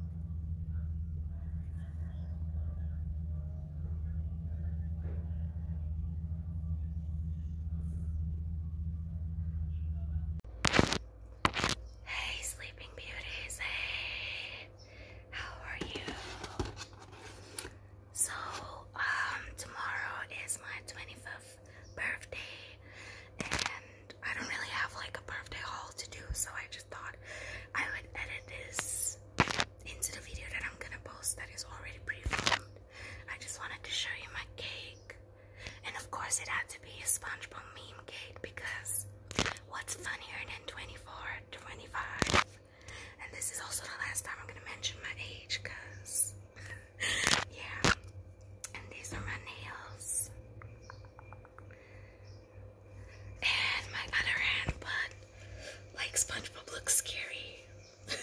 Hey, sleeping beauties. Hey, how are you? So, um, tomorrow is my 25th birthday, and I don't really have like a birthday haul to do, so I just thought I would edit this into the video that I'm gonna post that is already pre-filmed. I just wanted to show you my cake. And of course it had to be a SpongeBob meme cake because what's funnier than 24, 25? And this is also the last time I'm gonna mention my age because yeah. And these are my nails and my other hand, but like SpongeBob looks scary. but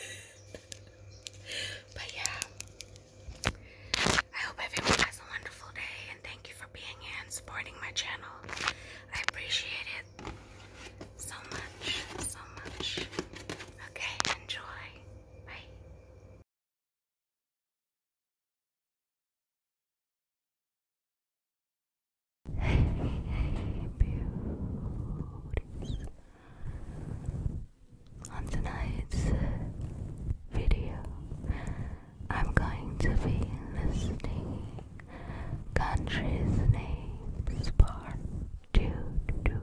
yeah, I hope everyone has a wonderful day and thank you for being here and supporting my channel. I appreciate it so much, so much. Okay, enjoy. Bye. On tonight's video, I'm going to be listing countries' names part two, two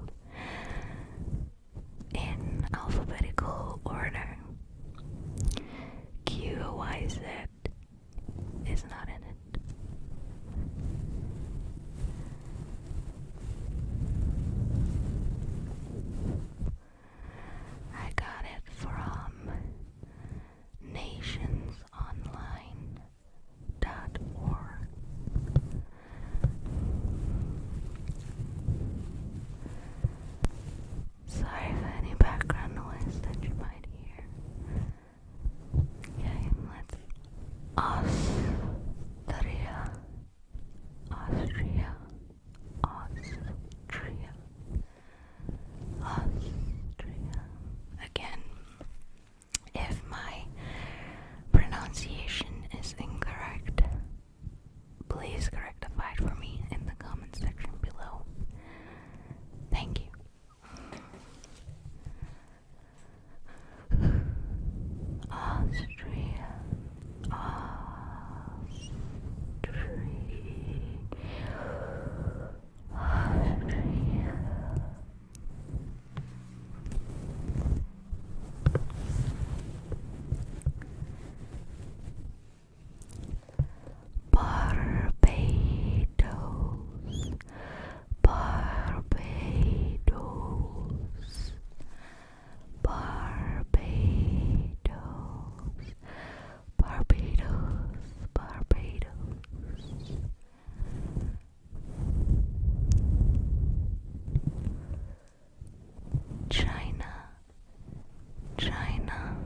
in alphabetical order. QYZ is not in it. I got it from nationsonline.org. Sorry for any background noise that you might hear. Okay, let's. Austria. Austria. Austria. Austria. Again, if my pronunciation is incorrect, Please rectify it for me in the comment section below. Thank you. Austria, Austria, Austria. Barbados, Barbados, Barbados, Barbados, Barbados. China, China,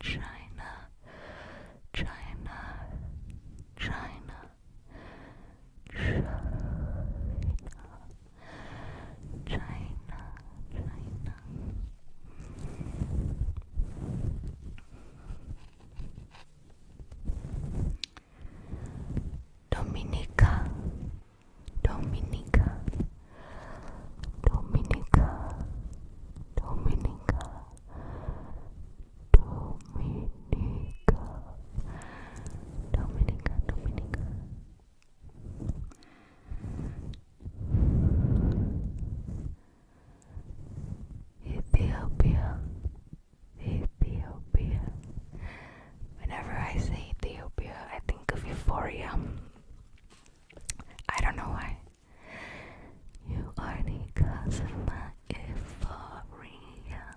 China, China, China, China, China, China. Dominica, Dominica, Dominica, Dominica, Dominica, Dominica, Dominica. Ethiopia, Ethiopia, Whenever I say Ethiopia, I think of euphoria. I don't know why. You are the cause of my euphoria.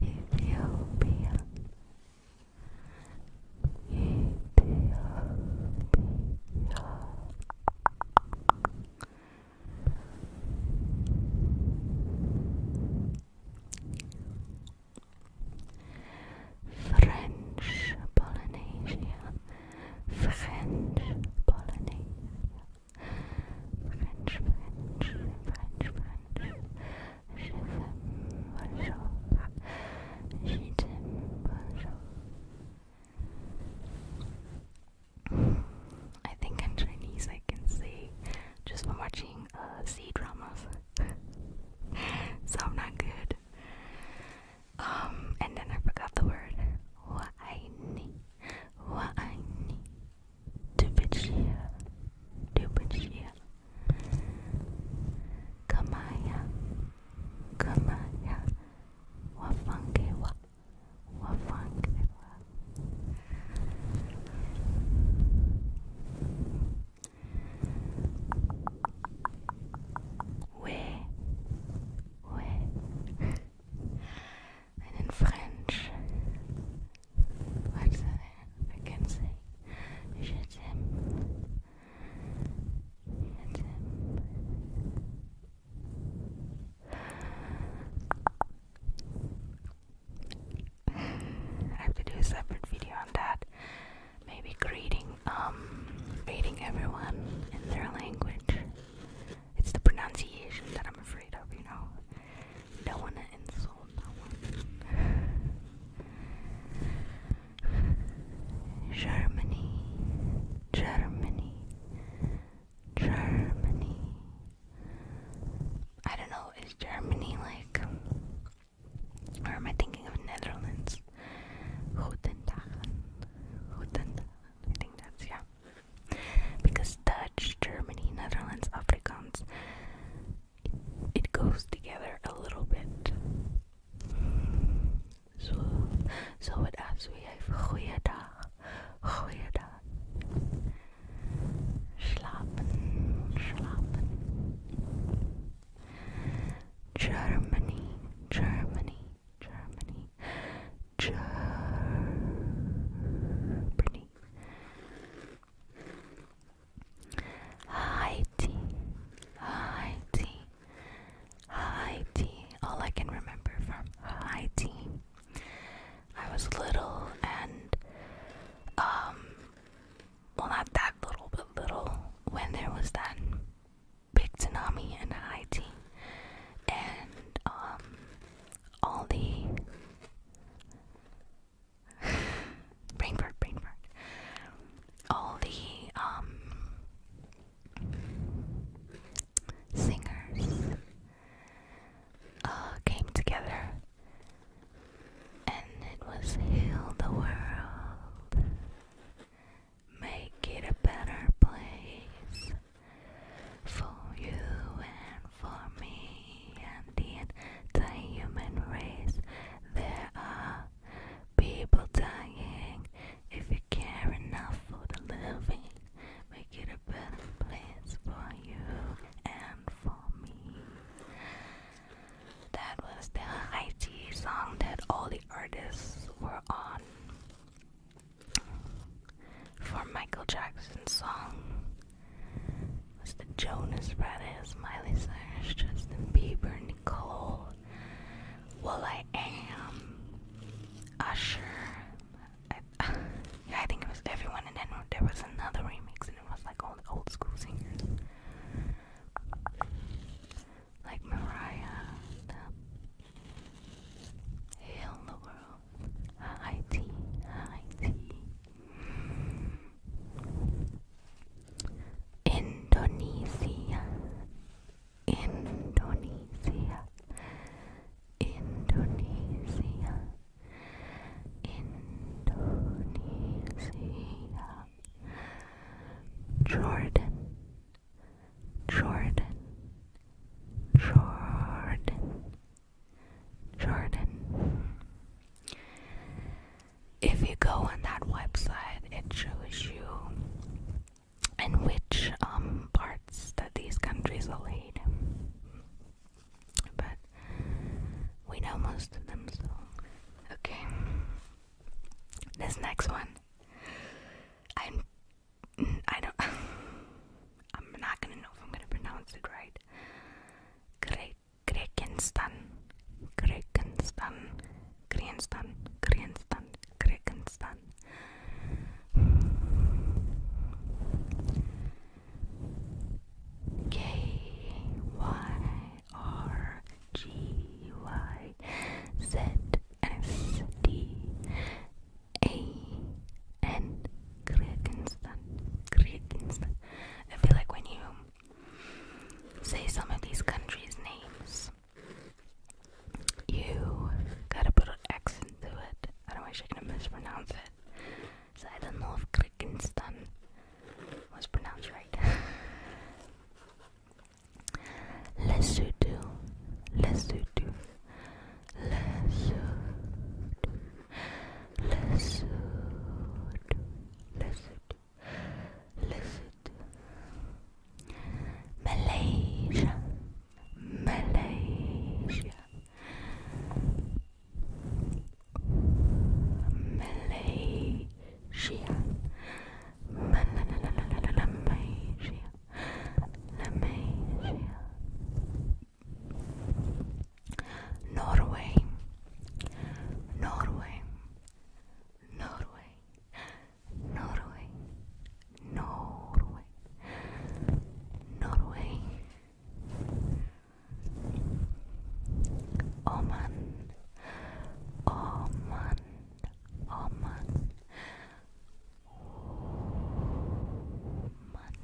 Ethiopia. Ethiopia. French Polynesia, French Polynesia, French, French, French, French. Je bonjour, je I think in Chinese I can say, just for watching watching uh, C dramas, so I'm not good. Um, and then I forgot the word. What what I I need, need to yeah, Wa'aini, wa'aini, dubichia, dubichia, kamaya, kamaya, wafangewa, wafangewa, Ouais, ouais. And in French, what's I can say? Je t'aime. Je t'aime. I have to do a separate video on that. Maybe greeting, um, greeting everyone in their language. It's the pronunciation that I'm afraid of, you know. Don't want to insult no one. Germany, Germany, Germany. I don't know, is Germany like or am I thinking of Netherlands? Guten Guten I think that's yeah. Because Dutch, Germany, Netherlands, Afrikaans it, goes together a little bit. So, zo het als wie have goeiedag. Goeiedag. Slapen, slapen. Germany, Germany, Germany, Germany. Haiti, Haiti, Haiti. All I can remember from Haiti I was little and, um, well, not that little, but little when there was that big tsunami in Haiti and, um, all the brain fart, All the um singers all uh, came together and it was heal the world, make it a better place for you and for me and the human race. There are people dying if you care enough for the living make it a better place for you and for me. That was the Haiti song that all the artists were on for Michael Jackson's song. Was the Jonas Brothers, Miley Cyrus, Justin Bieber, Nicole, Well, I Am, Usher, I, yeah, I think it was everyone, and then there was another remix, and it was like all the old school singers, like Mariah, Hail the World, High Tea, Indonesia, Indonesia. Indonesia Indonesia Jordan Jordan Jordan Jordan If you go on that website it shows you in which um parts that these countries are laid but we know most of them, so. Okay. This next one. I'm. I don't. I'm not gonna know if I'm gonna pronounce it right. Gre Grekenstan. Grekenstan. Grenstan. Grenstan one. I feel like when you say some of these countries' names, you gotta put an accent to it I'm actually gonna mispronounce it. So I don't know if Krikenstein was pronounced right. Lesotho, Lesotho, Lesotho, Lesotho, Lesotho, Lesotho, Malaysia, Malaysia Malaysia Malaysia Malaysia Norway Norway Norway Norway, Norway, Norway, Oman, Oman, Oman, Oman,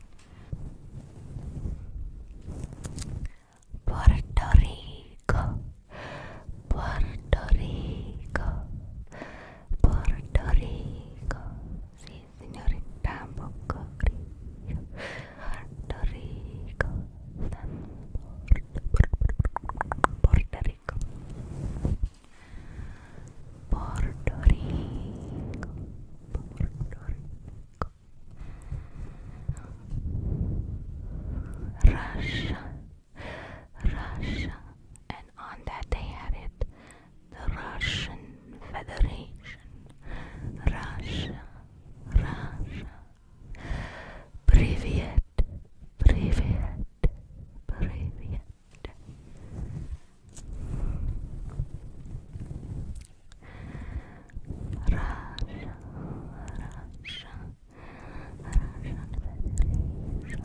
Puerto Rico, Puerto Rico. Puerto Puerto Rico, sí señorita, poco frío. Rico, San Puerto Rico, Puerto Rico, Puerto Rico, Russia. Russia, and on that they had it the Russian Federation. Russia, Russia. Privet, privet, privet. Russia, Russia, Russian Federation.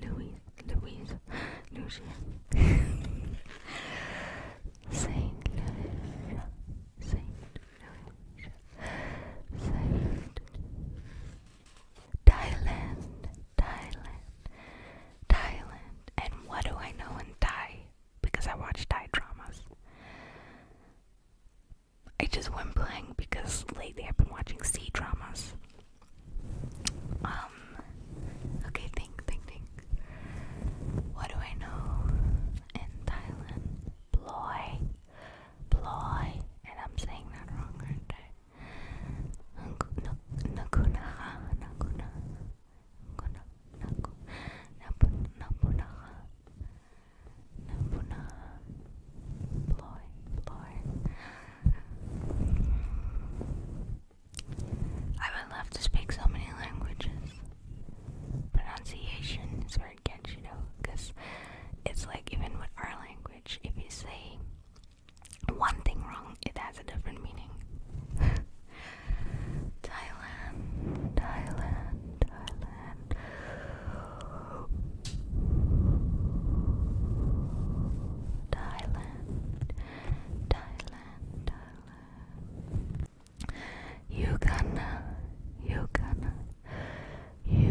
Louis, Louis, Louis, Saint Louis, Saint Louis, Saint Thailand, Thailand, Thailand. And what do I know in Thai? Because I watch Thai dramas. I just went playing because lately I've been watching C dramas. Um, okay, think, think, think. What do I know in Thailand? Ploy. Ploy. And I'm saying that wrong, are I would love to speak so many languages. Pronunciation is very catchy though, because it's like even with our language, if you say one thing wrong, it has a different meaning. Thailand, Thailand, Thailand. Thailand, Thailand, Thailand, Thailand. Uganda, Uganda, Uganda, Uganda,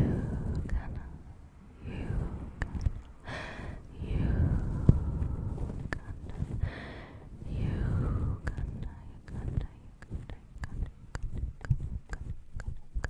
Uganda, Uganda, Uganda, Uganda, Uganda, Uganda, Uganda, Uganda, Uganda, Uganda,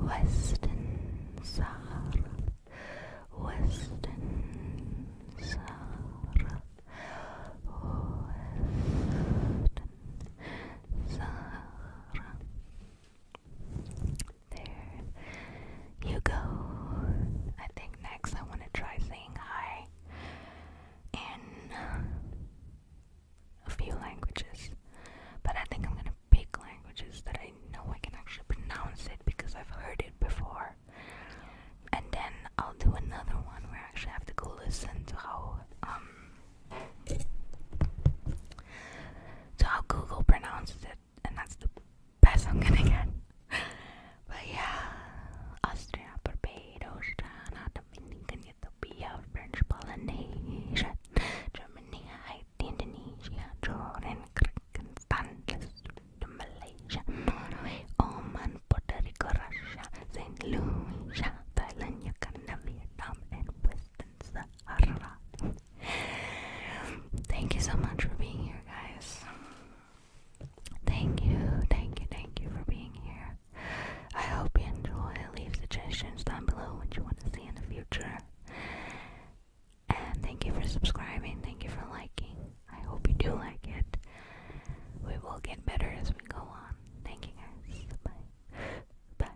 Western Sahara, Western Sahara, Western Sahara. There you go. I think next I want to try saying hi in a few languages, but I think I'm gonna pick languages that I know I can actually pronounce it because I've heard it before. And then I'll do another one where I actually have to go listen to how um, to how Google pronounces it, and that's the best I'm gonna get. but yeah, Austria, Barbados, Ghana, Dominican Ethiopia, French Polynesia, Germany, Haiti, Indonesia, Jordan, Kyrgyzstan, Malaysia, Oman, Puerto Rico, Russia, St. Lucia, Thailand, Vietnam, and Western Sahara. Thank you so much for being here, guys. Thank you, thank you, thank you for being here. I hope you enjoy. Leave suggestions down below what you want to see in the future. And thank you for subscribing. Thank you for liking. I hope you do like it. We will get better as we go on. Thank you guys. Bye. Bye.